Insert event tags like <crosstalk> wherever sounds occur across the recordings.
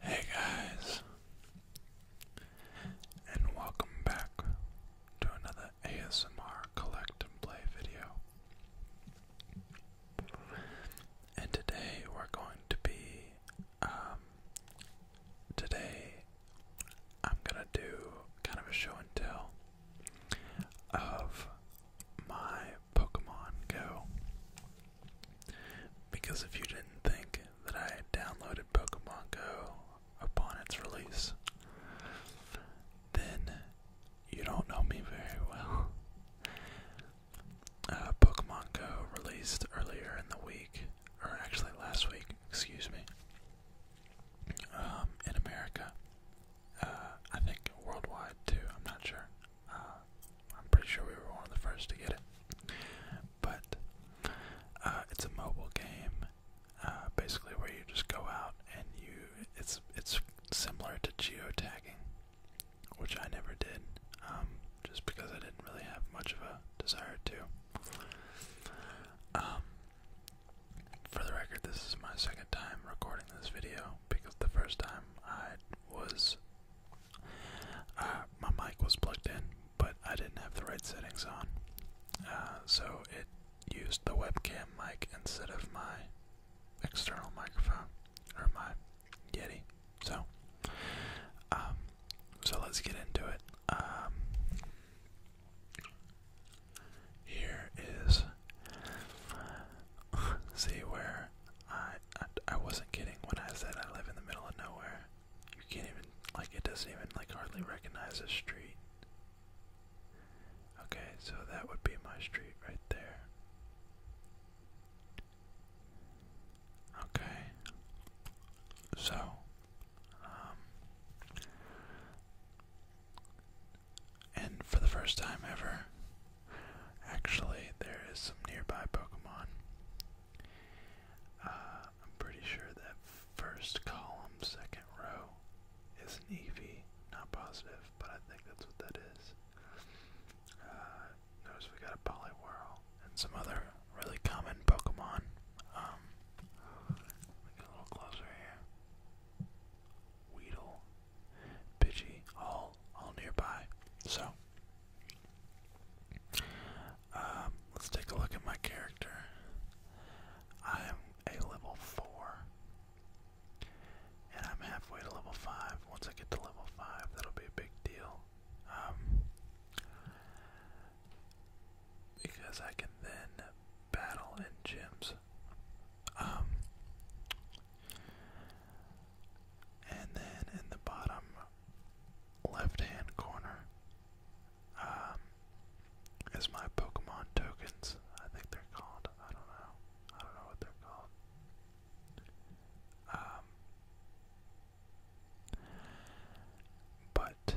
Hey guys, and welcome back to another ASMR Collect and Play video. And today we're going to be, um, today I'm gonna do kind of a show and tell of my Pokemon Go. Because if you didn't think that I downloaded Pokemon Go upon its release, then you don't know me very well. Uh, Pokemon Go released earlier in the week, or actually last week, excuse me, um, in America. Uh, I think worldwide too, I'm not sure. Uh, I'm pretty sure we were one of the first to get it. But uh, it's a mobile game, uh, basically where you just go out and you. It's it's similar to geotagging, which I never did, um, just because I didn't really have much of a desire to. Um, for the record, this is my second time recording this video because the first time I was uh, my mic was plugged in, but I didn't have the right settings on, uh, so it used the webcam mic instead of my external microphone or my Yeti. So, um, so let's get into it. Um, here is see where I, I wasn't kidding when I said I live in the middle of nowhere. You can't even like it doesn't even like hardly recognize a street. Okay, so that would be my street right there. Okay. So um, and for the first time ever, actually, there is some nearby Pokemon. Uh, I'm pretty sure that first column, second row is an EV. Not positive, but I think that's what that is. Uh, notice we got a Poliwhirl and some other really common Pokemon. Um, get a little closer here. Weedle, Pidgey, all all nearby. So um, let's take a look at my character. I am a level four. And I'm halfway to level five. Once I get to level five, that'll be a big deal. Um, because I can then battle and gyms. Um, and then in the bottom left hand corner um, is my Pokemon tokens. I think they're called. I don't know. I don't know what they're called. Um, but but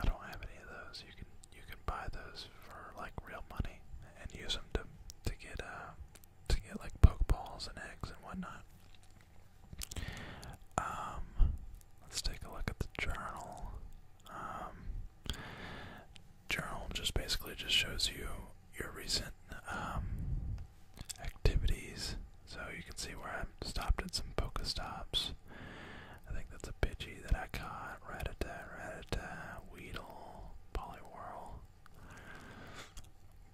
I don't have any of those. You can you can buy those for like real money and use them to to get uh to get like pokeballs and eggs and whatnot. Um, let's take a look at the journal. Um, journal just basically just shows you your recent um activities, so you can see where Stopped at some Pokestops. I think that's a Pidgey that I caught. Rattata, Rattata, Weedle, Poliwhirl.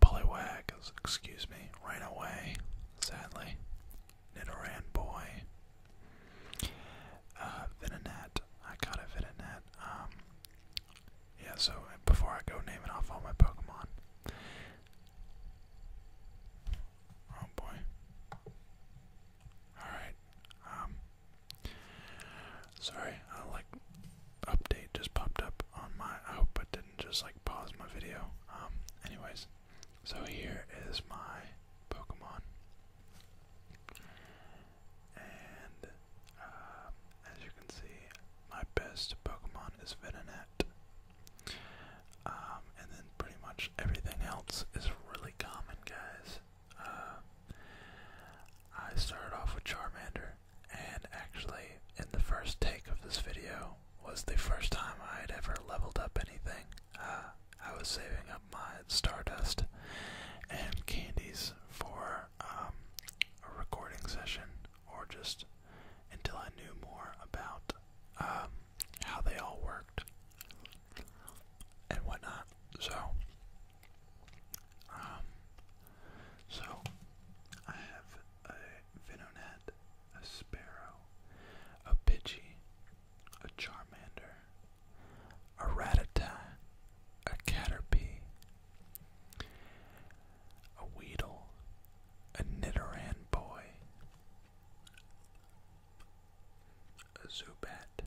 Poliwag, excuse me, ran away, sadly. Nidoran boy. Uh, I caught a Venonat. Um, yeah, so before I go naming off all my Pokemon, Oh boy. Alright. Um sorry, I uh, like update just popped up on my I hope it didn't just like pause my video. Um anyways. So here is my Pokemon. And uh, as you can see, my best Pokemon is Venonat. Um, and then pretty much everything else is really common, guys. Uh, I started off with Charmander, and actually, in the first take of this video, was the first time I had ever leveled up anything. Uh, I was saving up my Stardust and candies for um, a recording session or just until I knew more about um, how they all worked and whatnot. So, um, so I have a Venonat, a Sparrow, a Pidgey, a Charmander, a Rattata, a Caterpie, a Weedle, a Nidoran Boy, a Zubat,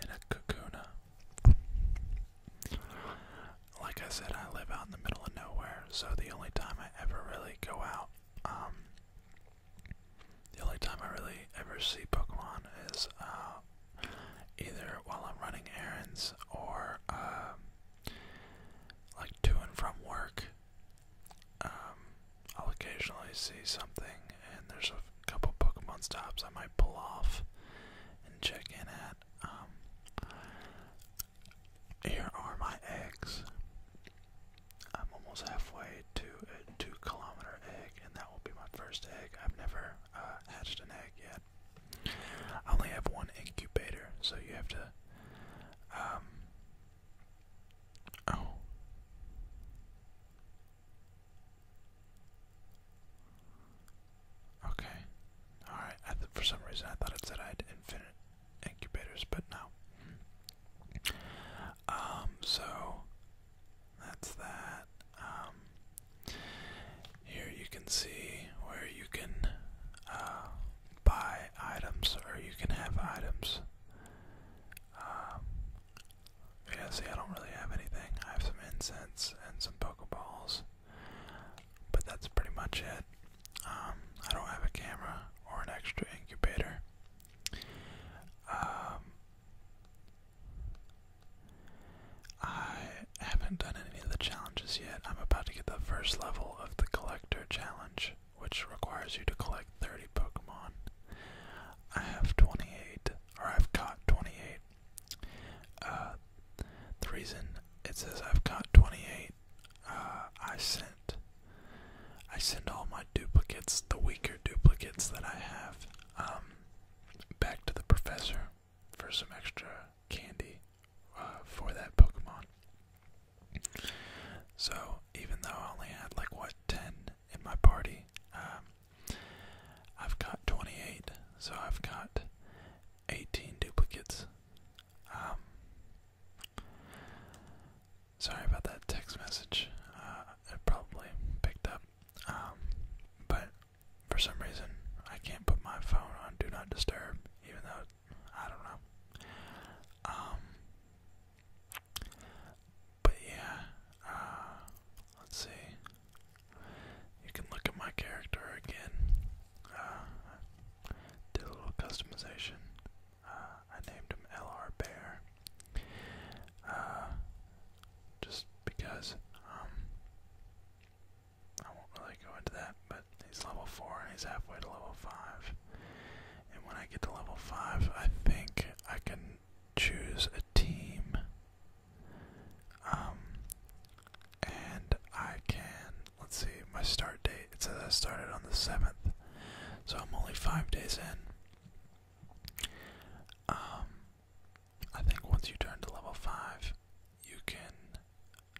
and a Kakuna. Like I said, I live out in the middle of nowhere, so the only time I ever really go out, um, the only time I really ever see Pokemon is uh, either while I'm running errands or uh, like to and from work, um, I'll occasionally see something, and there's a couple Pokemon stops I might pull off and check in at. Um, here are my eggs. I'm almost halfway to a two-kilometer egg, and that will be my first egg. I've never uh, hatched an egg yet. I only have one incubator, so you have to. Um, oh. Okay. All right. for some reason, I thought I said I had infinite incubators, but no. Um. So. That's that. Um. Here you can see where you can uh, buy items or you can have items. Um, yeah, see, I don't really have anything. I have some incense and some Pokeballs, but that's pretty much it. Um, I don't have a camera or an extra incubator. Um, I haven't done any of the challenges yet. I'm about to get the first level of the collector challenge, which requires you to collect 30 Pokemon. I have 28, or I've caught 28. Uh, the reason it says I've caught 28, uh, I sent, I send all my duplicates, the weaker duplicates that I have, um, back to the professor for some extra candy for that Pokemon. So even though I only had like what ten in my party, um, I've got twenty-eight. So I've got eighteen duplicates. Um, sorry about that text message. Uh, probably picked up. Um, but for some reason, I can't put my phone on Do Not Disturb, even though I don't know. Um, but yeah, uh, let's see. You can look at my character again. Uh, did a little customization. Uh, I named him LR Bear. just because, um, I won't really go into that, but he's level 4 and he's halfway to level 5. And when I get to level 5, I think I can choose a team. Um, and I can, let's see, my start date, it says I started on the 7th, so I'm only 5 days in. Um, I think once you turn to level 5, you can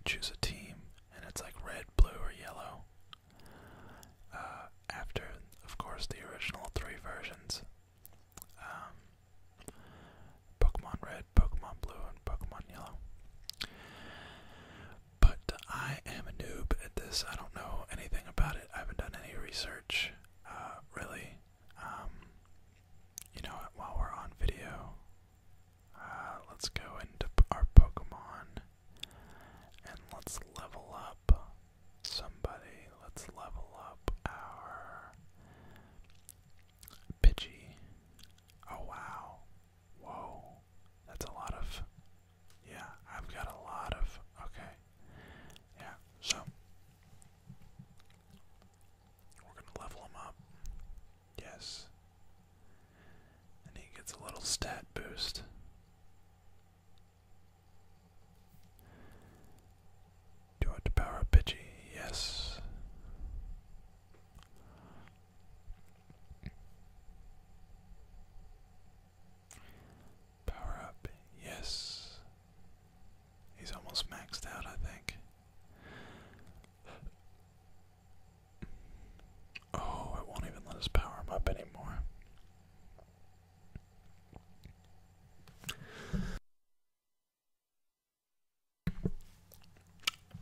choose a team, and it's like red, blue, or yellow. Uh, after, of course, the original three versions um, Pokemon Red, Pokemon Blue, and Pokemon Yellow. But I am a noob at this. I don't know anything about it. I haven't done any research, uh, really. Um, you know what, while we're on video, uh, let's go into our Pokemon and let's level up somebody. Let's level up our Pidgey. Oh wow. Whoa. That's a lot of. Yeah, I've got a lot of. Okay. Yeah, so. We're gonna level him up. Yes. And he gets a little stat boost. Do I have to power up Pidgey? Yes. Power up, yes. He's almost maxed out, I think. Oh, it won't even let us power him up anymore.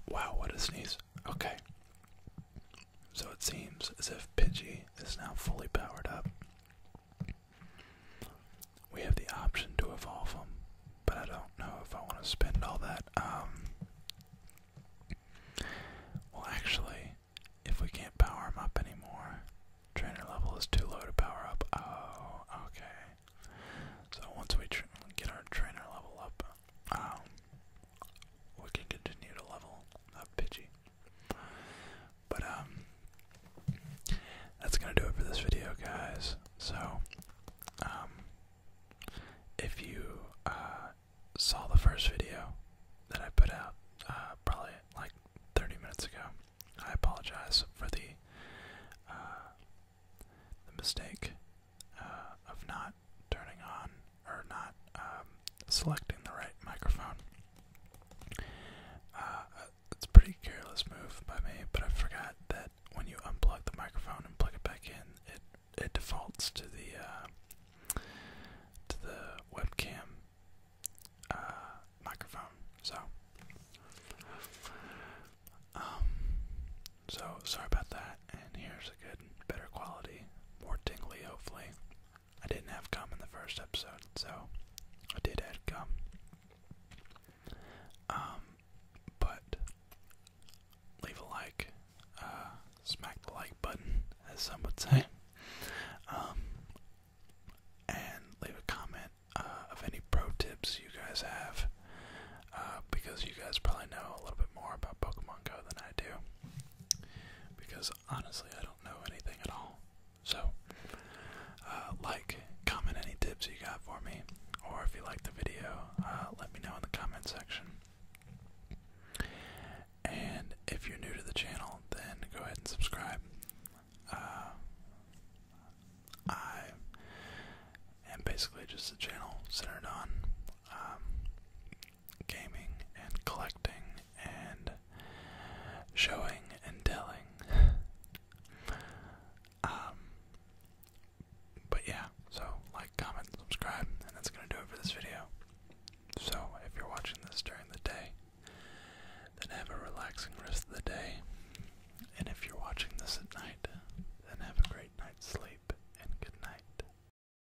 Wow, what a sneeze. Okay. So it seems as if Pidgey is now fully powered up. We have the option to evolve them, but I don't know if I want to spend all that. Um, well, actually, if we can't power them up anymore, trainer level is too low to power up. Oh, okay. So once we get our trainer level up, um, we can continue to level up Pidgey. But um that's gonna do it for this video guys. So um if you uh, saw the first video that I put out uh, probably like thirty minutes ago, I apologize for the uh, mistake of not turning on or not um, selecting the right microphone. Uh, it's a pretty careless move by me, but I forgot that when you unplug the microphone and plug it back in, it it defaults to the uh, to the webcam uh, microphone. So, um, so sorry about that. And here's a good, better quality, more tingly, hopefully, I didn't have gum in the first episode, so I did add gum. Um, but leave a like, uh, smack the like button, as some would say, <laughs> um, and leave a comment uh, of any pro tips you guys have, uh, because you guys probably know a little bit more about Pokemon Go than I do, because honestly, I don't know anything at all. So, uh, like, comment any tips you got for me, or if you like the video, uh, let me know in the comment section. And if you're new to the channel, then go ahead and subscribe. Uh, I am basically just a channel centered on um, gaming and collecting and showing and telling. <laughs> um, but yeah, so like, comment, subscribe, and that's gonna do it for this video. So if you're watching this during the day, then have a relaxing rest of the day. And if you're watching this at night, then have a great night's sleep and good night.